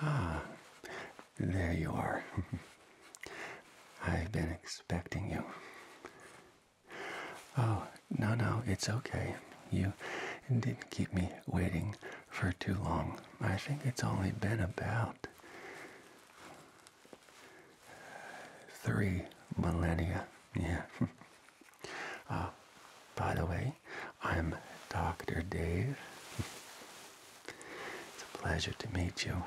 Ah, there you are. I've been expecting you. Oh, no, no, it's okay. You didn't keep me waiting for too long. I think it's only been about Three millennia, yeah. Uh, by the way, I'm Dr. Dave. it's a pleasure to meet you.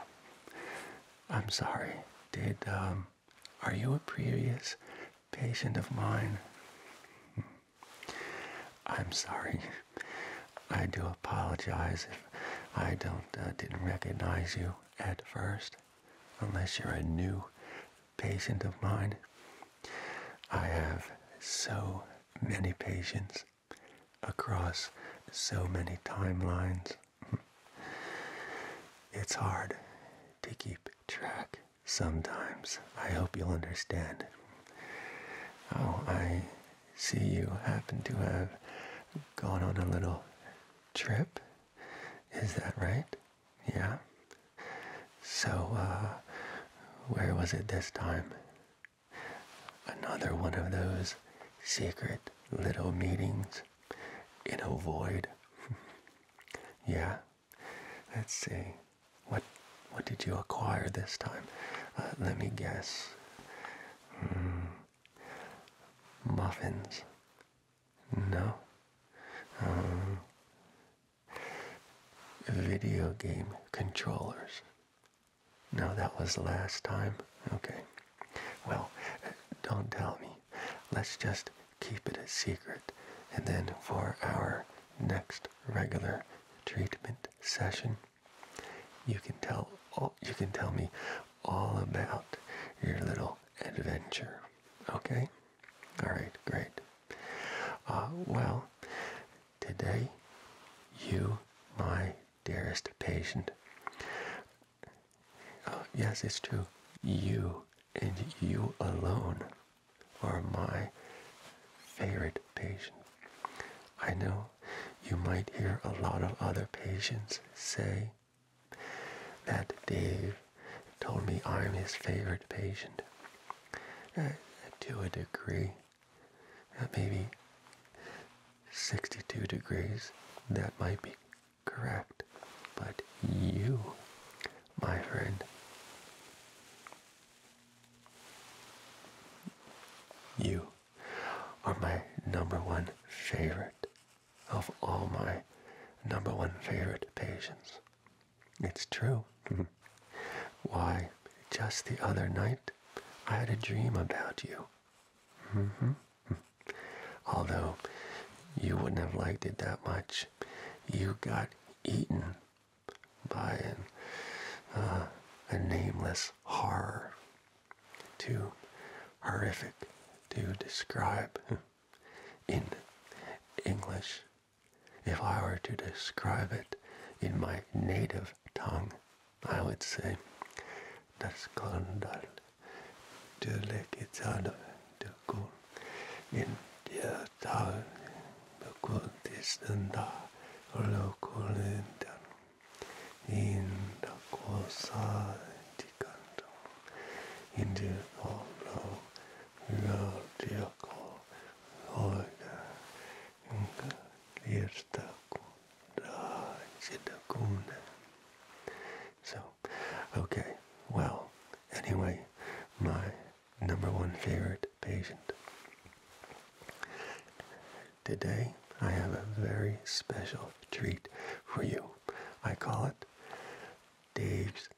I'm sorry, did, um, are you a previous patient of mine? I'm sorry. I do apologize if I don't, uh, didn't recognize you at first, unless you're a new patient of mine. I have so many patients across so many timelines. It's hard to keep track sometimes. I hope you'll understand. Oh, I see you happen to have gone on a little trip. Is that right? Yeah. So, uh, where was it this time? Another one of those secret little meetings in a void. yeah. Let's see. What what did you acquire this time? Uh, let me guess. Hmm. Muffins. No. Uh, video game controllers. No, that was last time. Okay. Well, don't tell me. Let's just keep it a secret. And then for our next regular treatment session, you can tell oh, you can tell me all about your little adventure. Okay? All right, great. Uh, well, today, you, my dearest patient, uh, yes, it's true, you and you alone are my favorite patient. I know you might hear a lot of other patients say, that Dave told me I'm his favorite patient. Uh, to a degree, uh, maybe 62 degrees, that might be correct. But you, my friend, you are my number one favorite of all my number one favorite patients. It's true. Why, just the other night, I had a dream about you. Mm-hmm. Although you wouldn't have liked it that much, you got eaten by uh, a nameless horror too horrific to describe in English. If I were to describe it in my native tongue, I would say das Skandal out of the Kun in the der Tal local Lokulindan Inda di canto, indi popolo, l'odiaco, l'oida, inca l'irta kunda. So, okay, well, anyway, my number one favorite patient. Today, I have a very special treat for you. I call it Dave's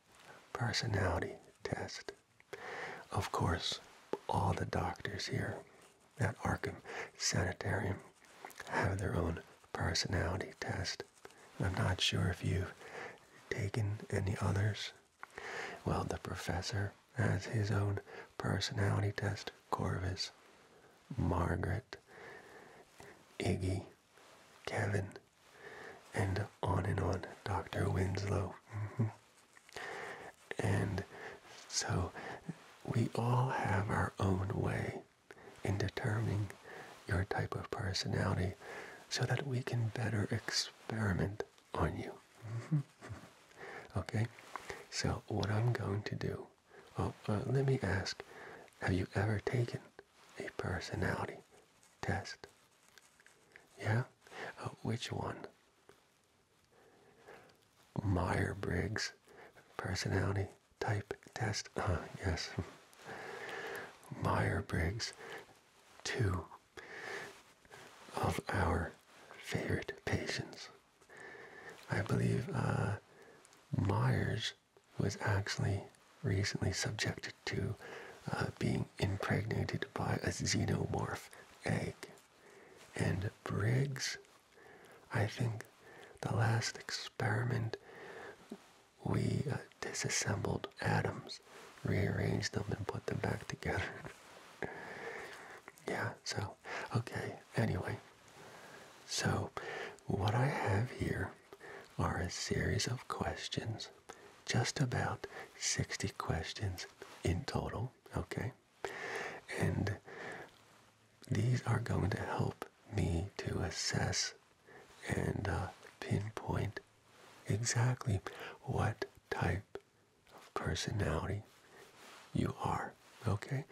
personality test. Of course, all the doctors here at Arkham Sanitarium have their own personality test. I'm not sure if you've taken any others. Well, the professor has his own personality test, Corvus. Margaret Iggy, Kevin, and on and on, Dr. Winslow. Mm-hmm. And so we all have our own way in determining your type of personality so that we can better experiment on you. Mm-hmm. okay, so what I'm going to do well, uh, let me ask, have you ever taken a personality test? Yeah? Uh, which one? Meyer-Briggs personality type test? Uh, yes. Meyer-Briggs, two of our favorite patients. I believe uh, Myers was actually recently subjected to uh, being impregnated by a xenomorph egg. And Briggs, I think the last experiment we uh, disassembled atoms, rearranged them, and put them back together. yeah, so, okay, anyway, so, what I have here are a series of questions, just about 60 questions in total, okay? And these are going to help me to assess and uh, pinpoint exactly what type of personality you are. Okay?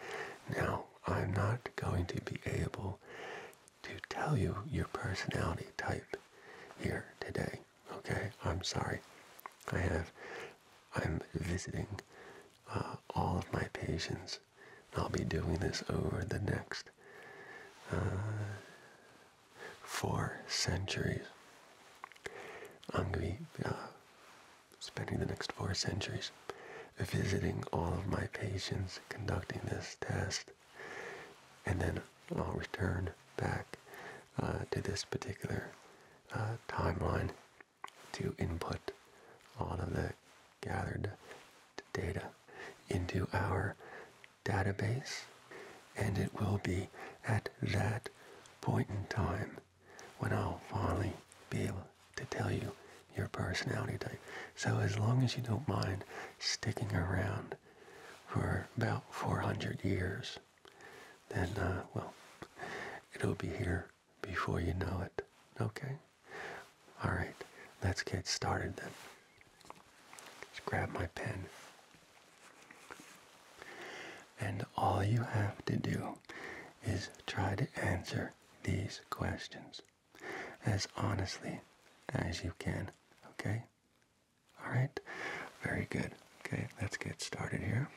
Now, I'm not going to be able to tell you your personality type here today. Okay? I'm sorry. I have, I'm visiting uh, all of my patients. I'll be doing this over the next uh, four centuries. I'm going to be uh, spending the next four centuries visiting all of my patients conducting this test and then I'll return back uh, to this particular uh, timeline to input all of the gathered data into our database and it will be at that point in time when I'll finally be able to tell you your personality type. So as long as you don't mind sticking around for about 400 years, then, uh, well, it'll be here before you know it. Okay? All right, let's get started then. Let's grab my pen. And all you have to do is try to answer these questions as honestly as you can. Okay? Alright? Very good. Okay, let's get started here.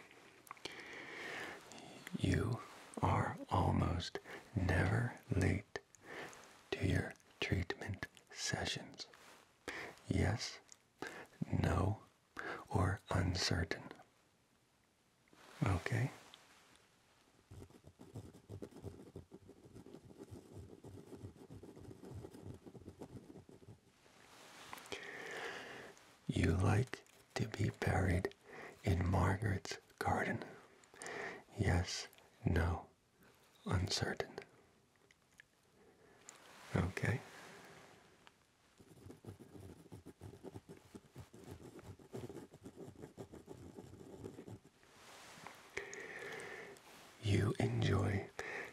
You are almost never late to your treatment sessions. Yes, no, or uncertain. Okay. You like to be buried in Margaret's garden. Yes, no, uncertain. Okay. You enjoy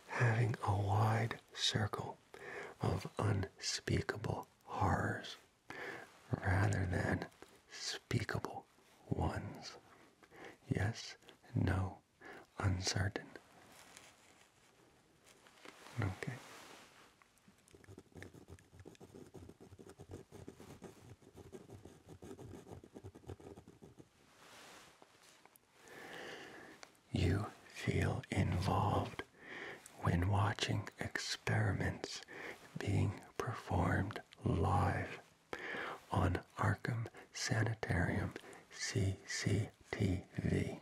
having a wide circle of unspeakable horrors rather than speakable ones. Yes, no, uncertain. Okay. You feel involved when watching experiments being performed live on Arkham Sanitarium CCTV.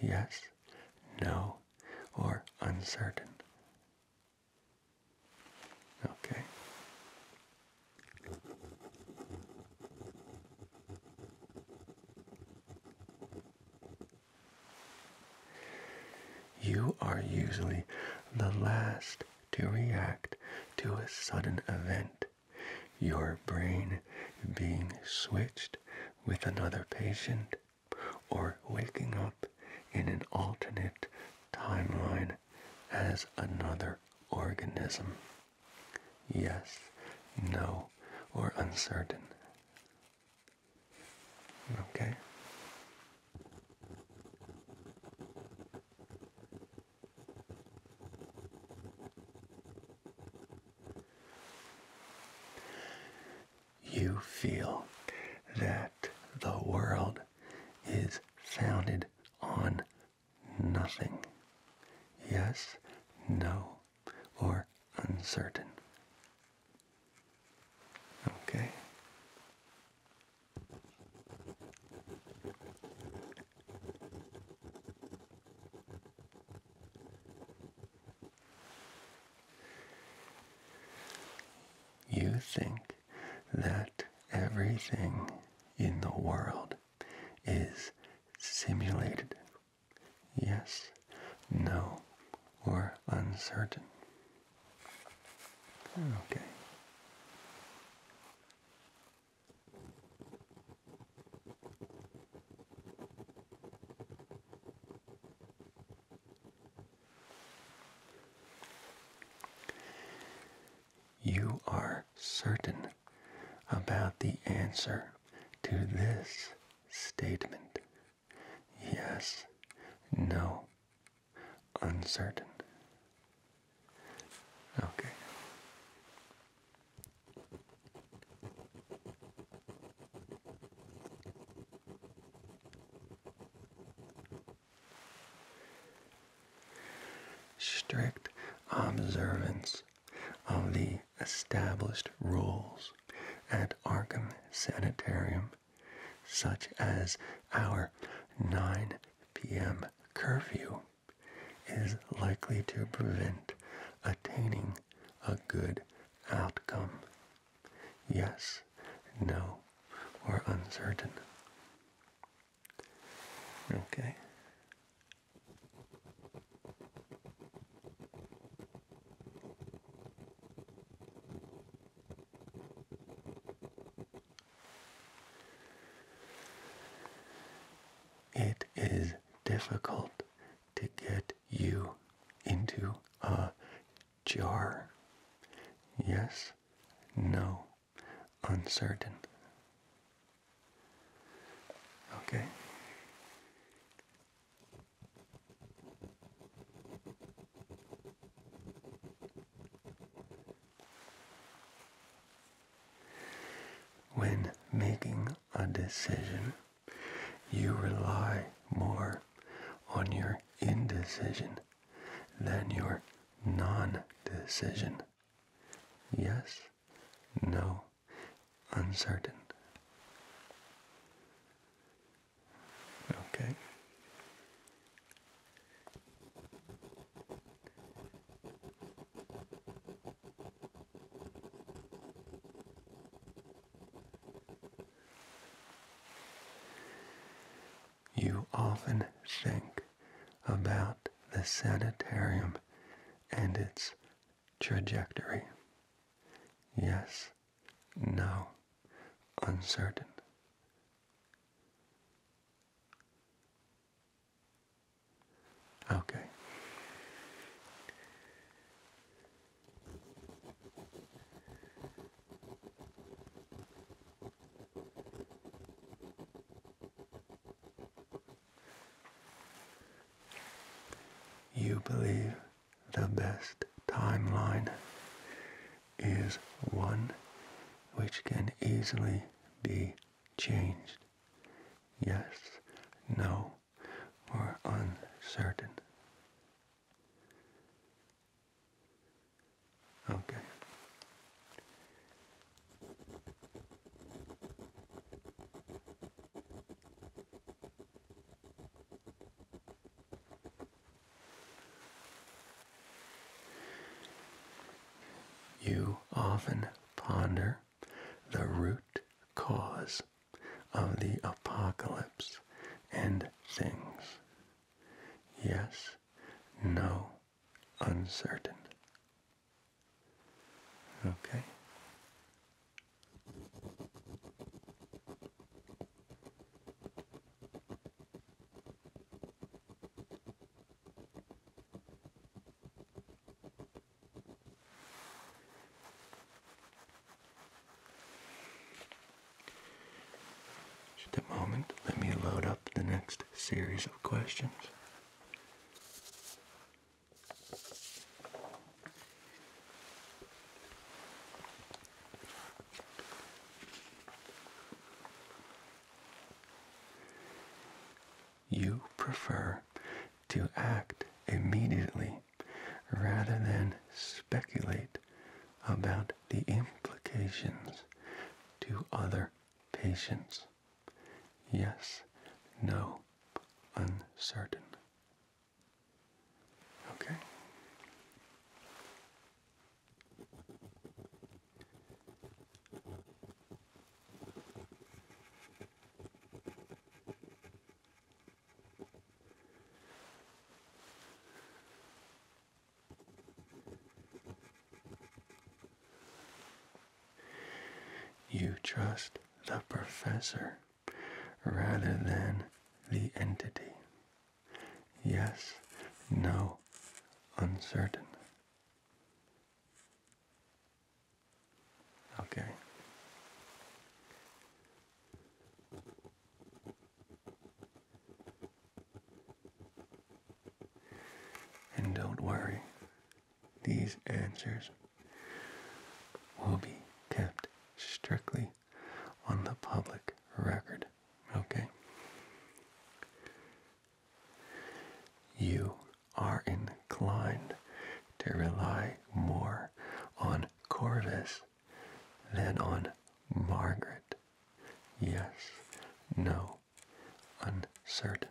Yes, no, or uncertain. Okay. You are usually the last to react to a sudden event. Your brain being switched with another patient or waking up in an alternate timeline as another organism? Yes, no, or uncertain. Okay you feel that the world is founded on nothing. Yes, no, or uncertain. Okay. You think that everything in the world is simulated. Yes, no, or uncertain. Okay. You are certain about the answer to this statement. Yes, no, uncertain. Okay. Strict observance of the established rules at Arkham Sanitarium, such as our 9 p.m. curfew, is likely to prevent attaining a good outcome yes, no, or uncertain. Okay. It is difficult to get you into a jar. Yes, no, uncertain. Okay. When making a decision, you rely more on your indecision than your non decision. Yes, no, uncertain. Okay you often think about the sanitarium and its trajectory? Yes, no, uncertain. Okay. You believe the best timeline is one which can easily be changed. Yes, no, or uncertain. Okay. You often ponder the root cause of the apocalypse and things Yes, no, uncertain. Okay. Just a moment, let me load up the next series of questions. You prefer to act immediately rather than speculate about the implications to other patients. Yes, no, uncertain. Okay. You trust the professor rather than the entity. Yes, no, uncertain. Okay. And don't worry, these answers will be kept strictly on the public record, okay? You are inclined to rely more on Corvus than on Margaret. Yes, no, uncertain.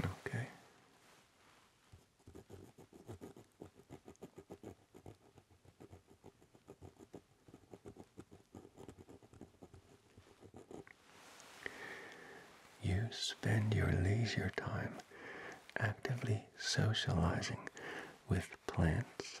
Okay. You spend your leisure time actively socializing with plants,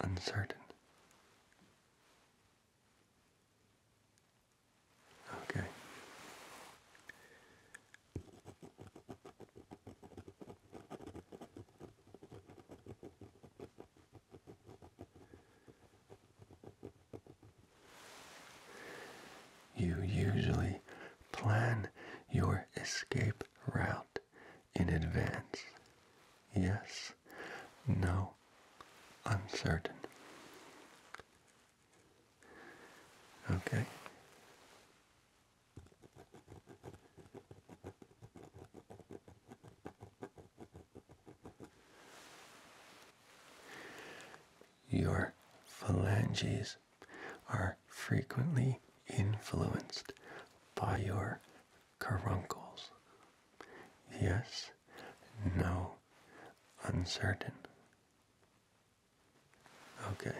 uncertain. Okay. You usually plan your escape route in advance. Yes, no uncertain. Okay. Your phalanges are frequently influenced by your caruncles. Yes, no, uncertain. Okay.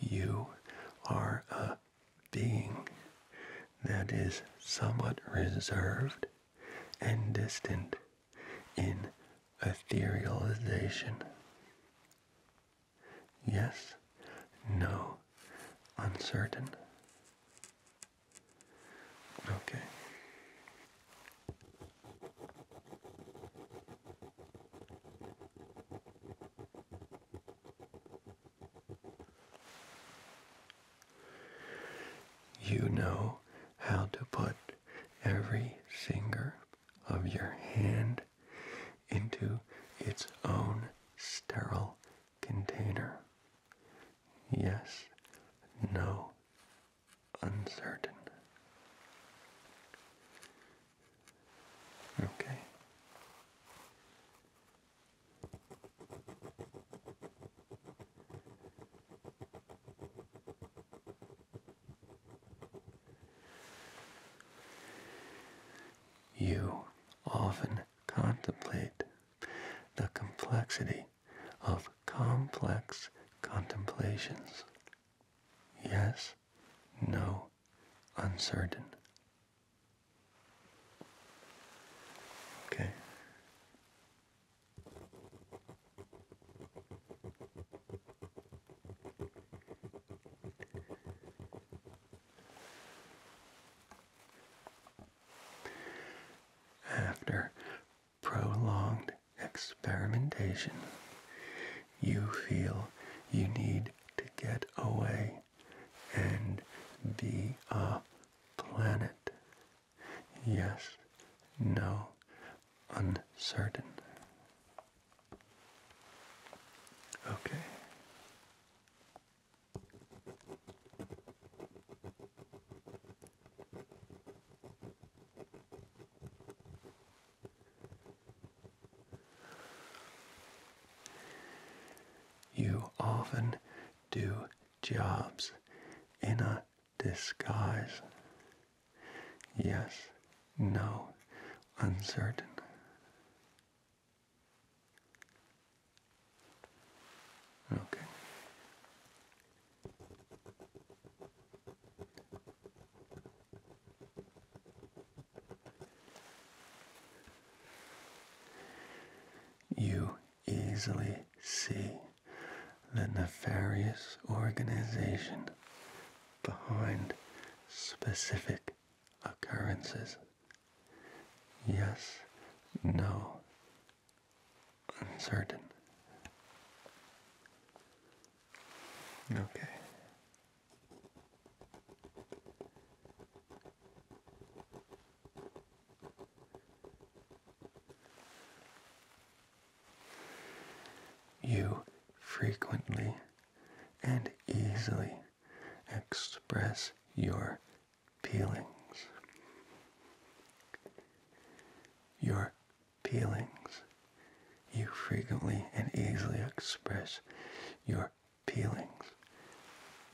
You are a being that is somewhat reserved and distant in etherealization. Yes, no, uncertain. Okay. You know how to put every finger of your hand into its own sterile container. Yes, no, uncertain. Okay. You often contemplate the complexity of complex contemplations. Yes, no, uncertain, Okay. After prolonged experimentation, you feel you need to get away and be a planet. Yes, no, uncertain. Okay. You often do jobs in a disguise. Yes, no, uncertain. Okay. You easily see the nefarious organization behind specific occurrences. Yes, no, uncertain. Okay. You frequently and easily express your feelings. Your feelings. You frequently and easily express your feelings.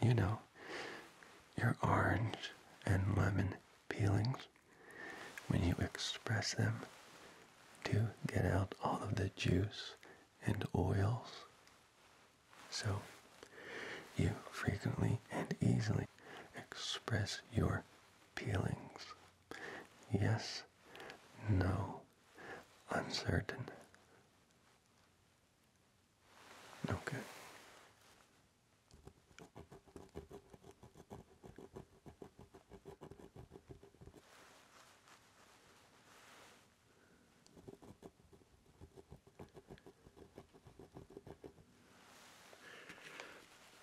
You know, your orange and lemon peelings when you express them to get out all of the juice and oils. So you frequently and easily express your peelings. Yes, no, uncertain. Okay.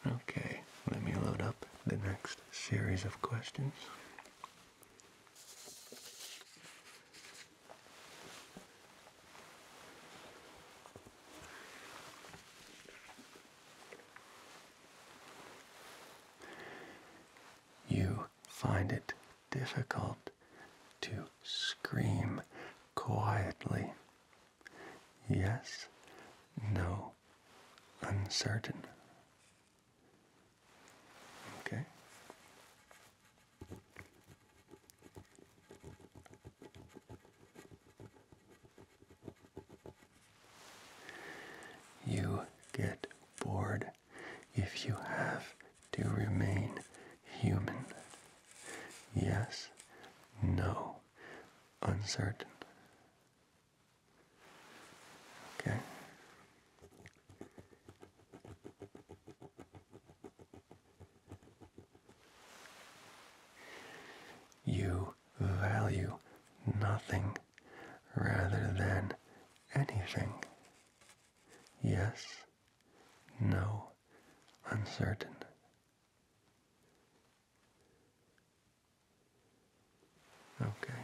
Okay, let me load up the next series of questions. You find it difficult to scream quietly. Yes, no, uncertain. Okay. You get bored if you have to remain human. Yes, no, uncertain. Okay. You value nothing rather than anything. Yes, no, uncertain. Okay.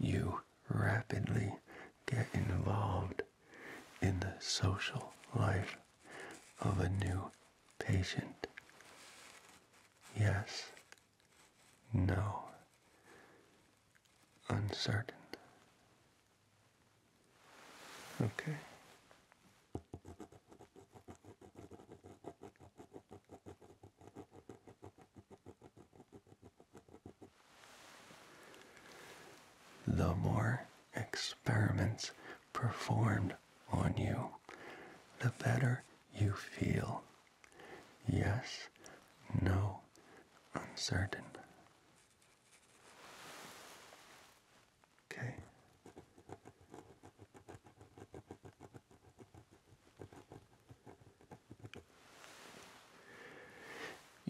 You rapidly get involved in the social life of a new patient. Yes, no, uncertain. Okay. The more experiments performed on you, the better you feel. Yes, no, uncertain. Okay.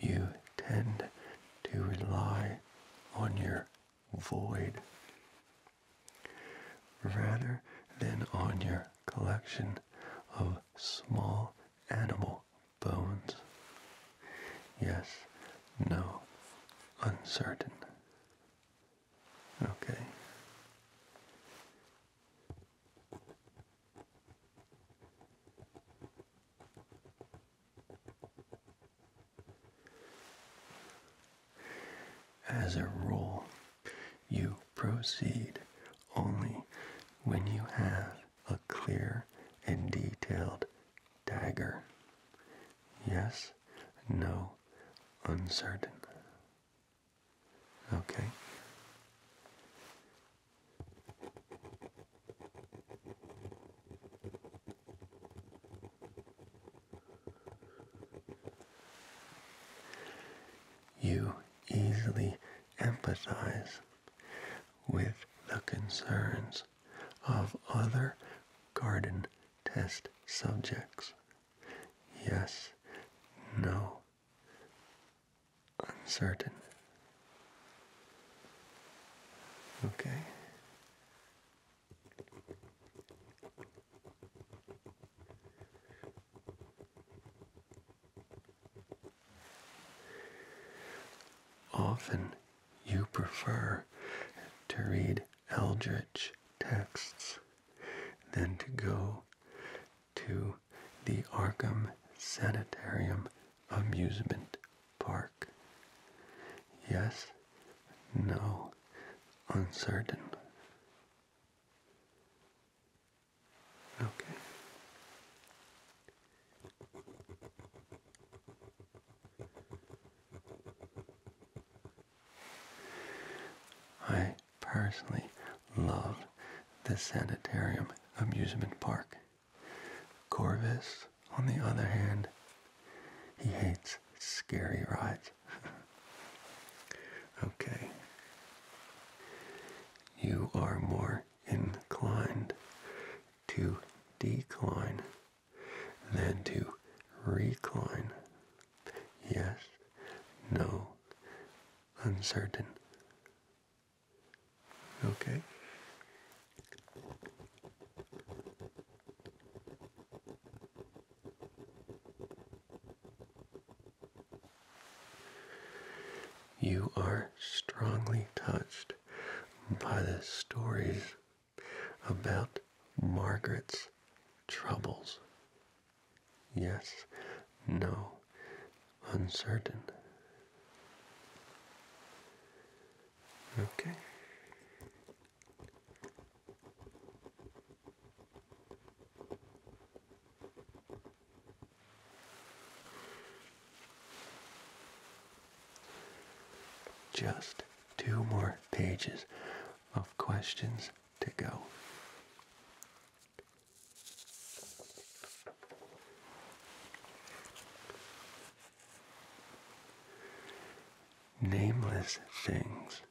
You tend to rely on your void rather than on your collection of small animal bones. Yes, no, uncertain. Okay. As a rule, you proceed only when you have a clear and detailed dagger Yes, no, uncertain. Okay. You easily empathize with the concerns of other garden test subjects. Yes, no, uncertain. Okay. Often you prefer to read eldritch texts than to go to the Arkham Sanitarium Amusement Park? Yes, no, uncertain. Okay. I personally love the Sanitarium amusement park. Corvus, on the other hand, he hates scary rides. okay. You are more inclined to decline then to recline. Yes, no, uncertain. Okay. You are strongly touched by the stories about Margaret's troubles. Yes, no, uncertain. Okay. Just two more pages of questions to go. Nameless things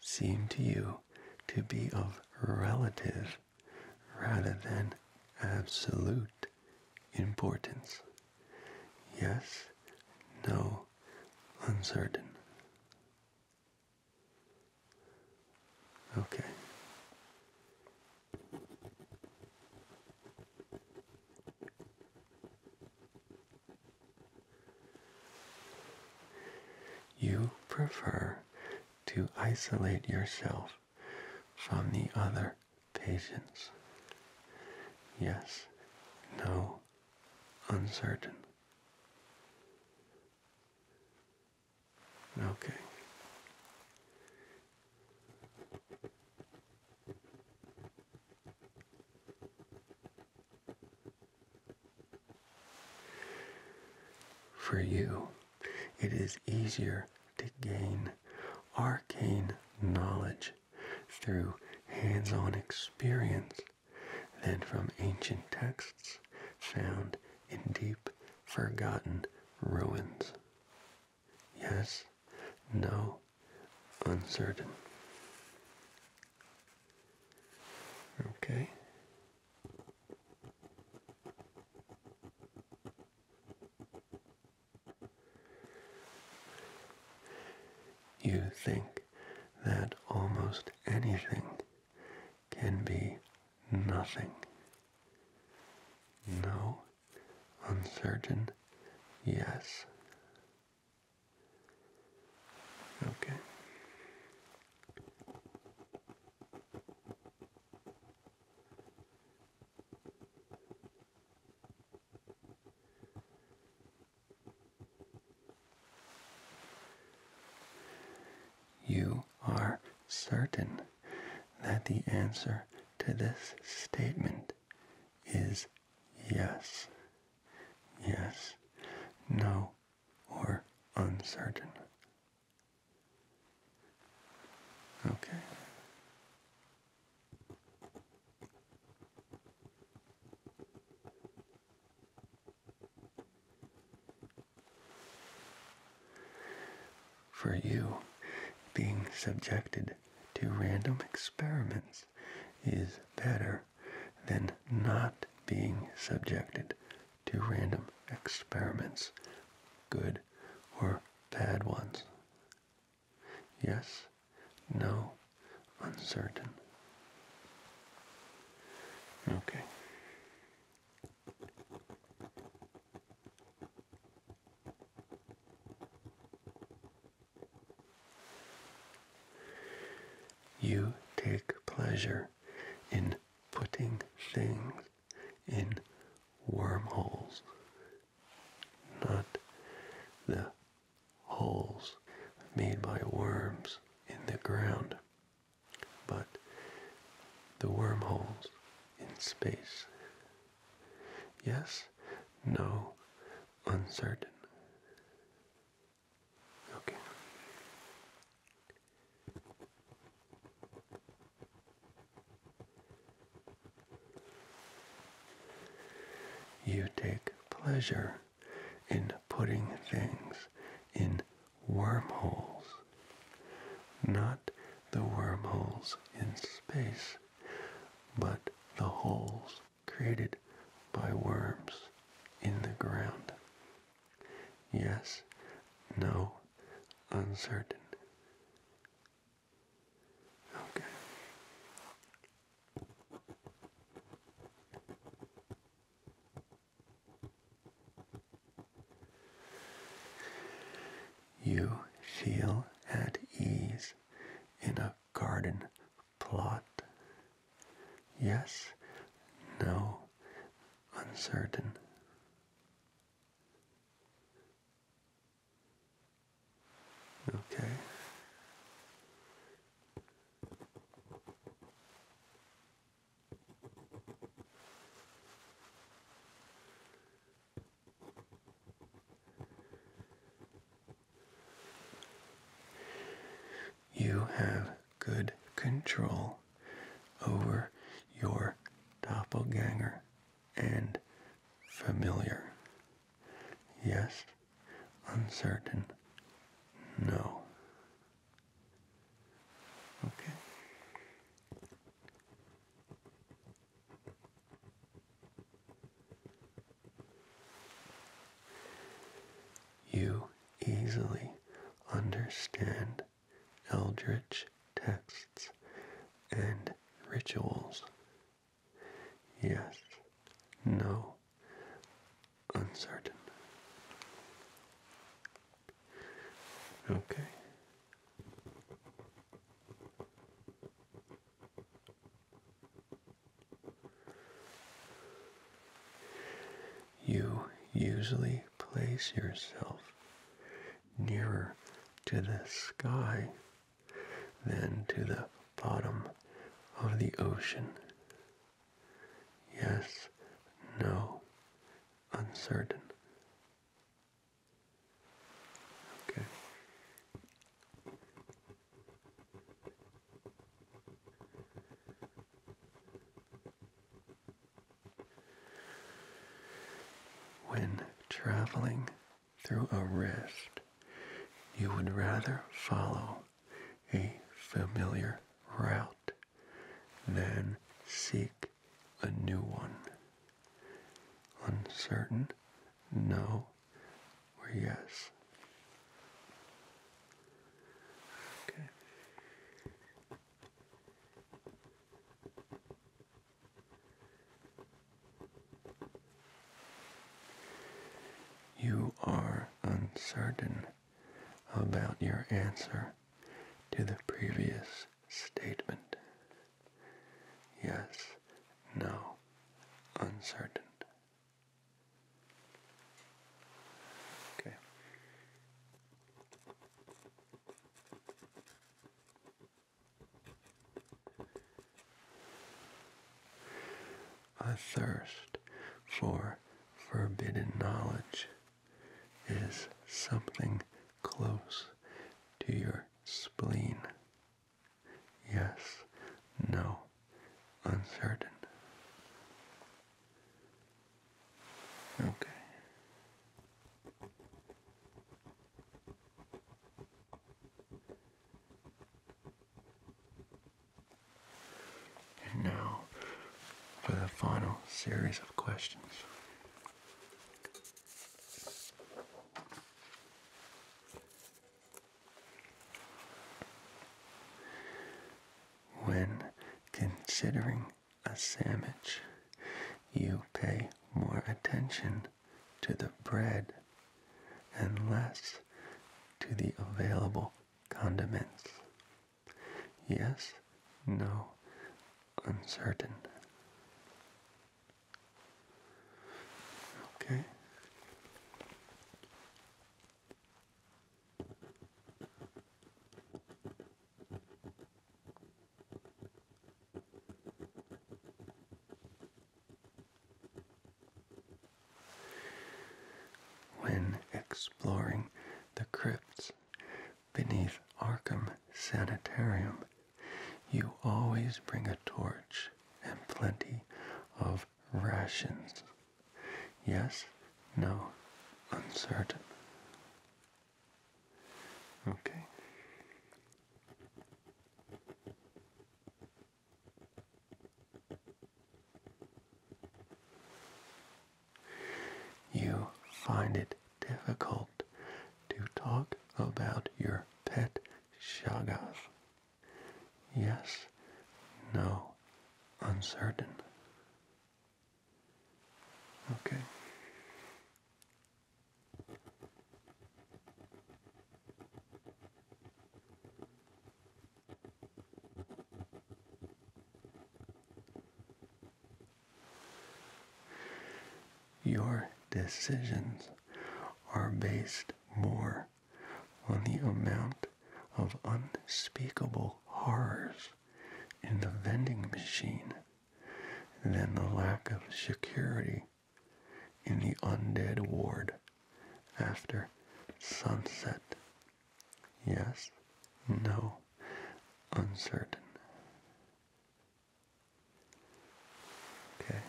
seem to you to be of relative rather than absolute importance. Yes, no uncertain. Okay. You prefer to isolate yourself from the other patients. Yes, no, uncertain. Okay. For you, it is easier to gain arcane knowledge through hands on experience than from ancient texts found in deep, forgotten ruins. Yes, no, uncertain. Okay. You think that almost anything can be nothing. No, uncertain, yes. Okay. You are certain that the answer to this statement is yes, yes, no, or uncertain. Okay. For you, being subjected to random experiments is better than not being subjected to random experiments, good or bad ones. Yes, no uncertain. Okay. You take pleasure in putting things in wormholes, not the holes made by worms in the ground. But the wormholes in space. Yes, no, uncertain. Okay. You take pleasure in putting things in wormholes, not the wormholes in space, but the holes created by worms in the ground. Yes, no, uncertain. Okay. You feel at ease in a garden plot. Yes, no, uncertain. Okay. You have good control over your doppelganger and familiar. Yes, uncertain, no. Okay. You easily understand eldritch texts and rituals. Yes, no, uncertain. Okay. You usually place yourself nearer to the sky than to the bottom of the ocean. Yes, no, uncertain. Okay. When traveling through a rest, you would rather follow a familiar route, then seek a new one. Uncertain, no, or yes. Okay you are uncertain about your answer to the previous statement. Yes, no, uncertain. Okay a thirst for forbidden knowledge is something close to your spleen. Yes, no, uncertain. Okay. And now for the final series of questions. When considering a sandwich, you pay more attention to the bread and less to the available condiments. Yes, no, uncertain. Okay. When exploring the crypts beneath Arkham Sanitarium, you always bring a torch and plenty of rations. Yes, no, uncertain. Okay. You find it difficult to talk about your pet shagath. Yes, no, uncertain. Okay. Your decisions are based more on the amount of unspeakable horrors in the vending machine than the lack of security in the undead ward after sunset. Yes, no, uncertain. Okay.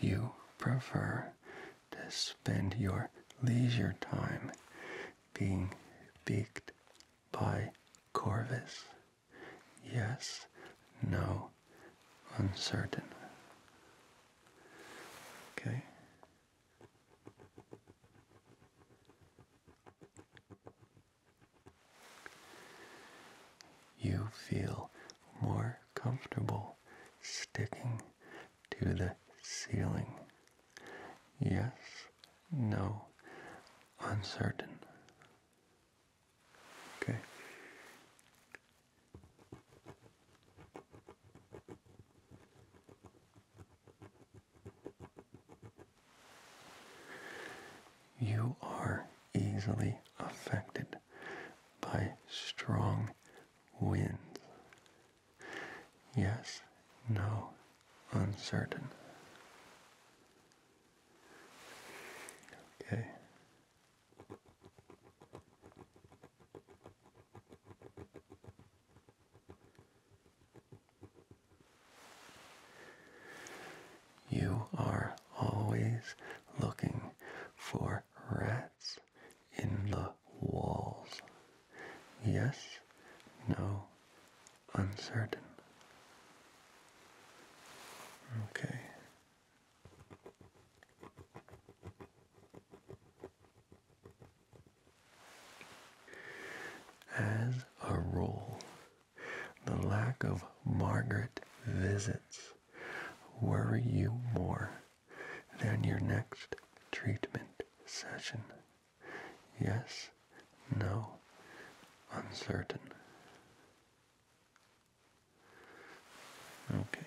You prefer to spend your leisure time being beaked by Corvus. Yes, no, uncertain. Okay. You feel more comfortable sticking to the ceiling. Yes, no, uncertain. Okay. You are easily affected by strong winds. Yes, no, uncertain. Okay. You are always looking for rats in the walls. Yes, no, uncertain. Okay. As a rule, the lack of Margaret visits worry you more than your next treatment session. Yes, no, uncertain. Okay.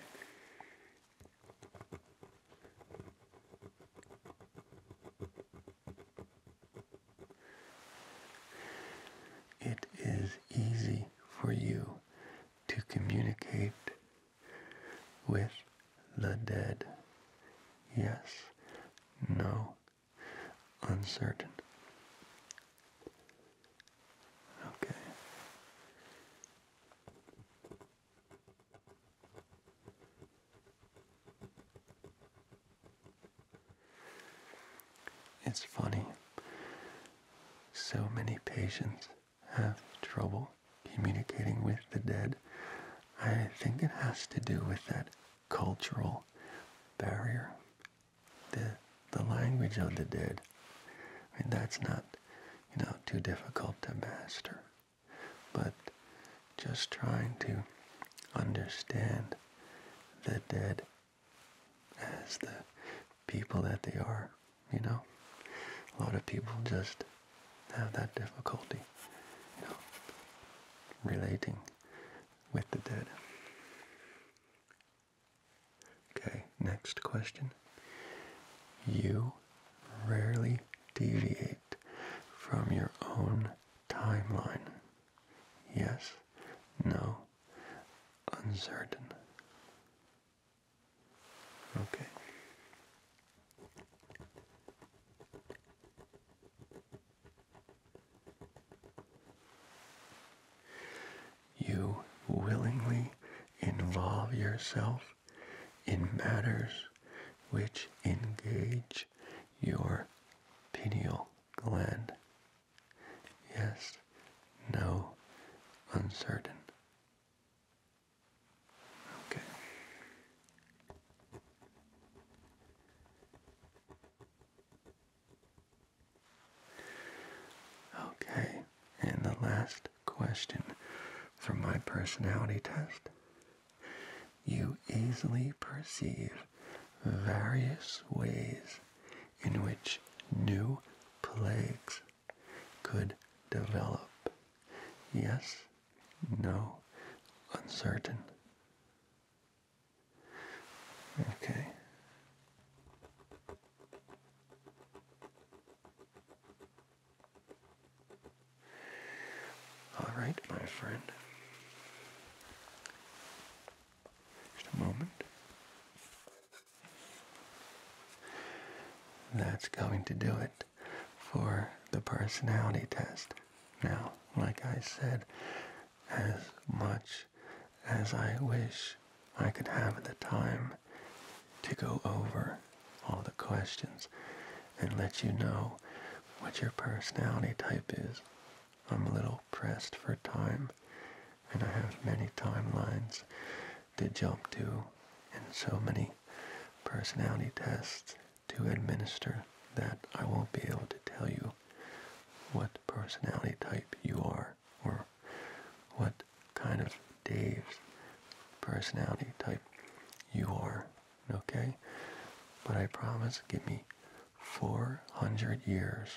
It is easy for you to communicate with the dead. Yes, no, uncertain. Okay. It's funny. So many patients have trouble communicating with the dead. I think it has to do with that cultural barrier. The the language of the dead. I mean that's not, you know, too difficult to master. But just trying to understand the dead as the people that they are, you know. A lot of people just have that difficulty, you know, relating with the dead. Okay, next question. You rarely deviate from your own timeline. Yes, no, uncertain. Okay. You willingly involve yourself in matters which engage your pineal gland. Yes, no, uncertain. Okay. Okay, and the last question from my personality test. You easily perceive various ways in which new plagues could develop. Yes, no, uncertain. Okay. All right, my friend. Just a moment. That's going to do it for the personality test. Now, like I said, as much as I wish I could have the time to go over all the questions and let you know what your personality type is. I'm a little pressed for time and I have many timelines to jump to and so many personality tests to administer that I won't be able to tell you what personality type you are or what kind of Dave's personality type you are, okay? But I promise, give me 400 years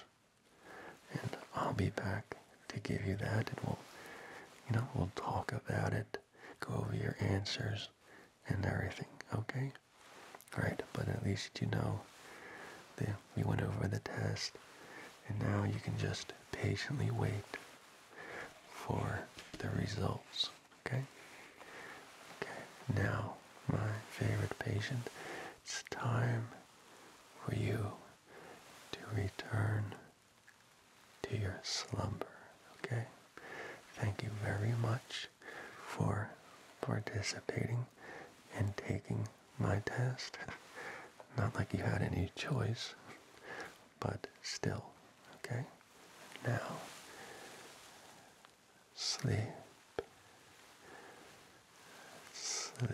and I'll be back to give you that and we'll, you know, we'll talk about it, go over your answers and everything, okay? right? But at least you know that we went over the test, and now you can just patiently wait for the results, okay? Okay, now, my favorite patient, it's time for you to return to your slumber, okay? Thank you very much for participating and taking my test. Not like you had any choice, but still, okay? Now, sleep, sleep.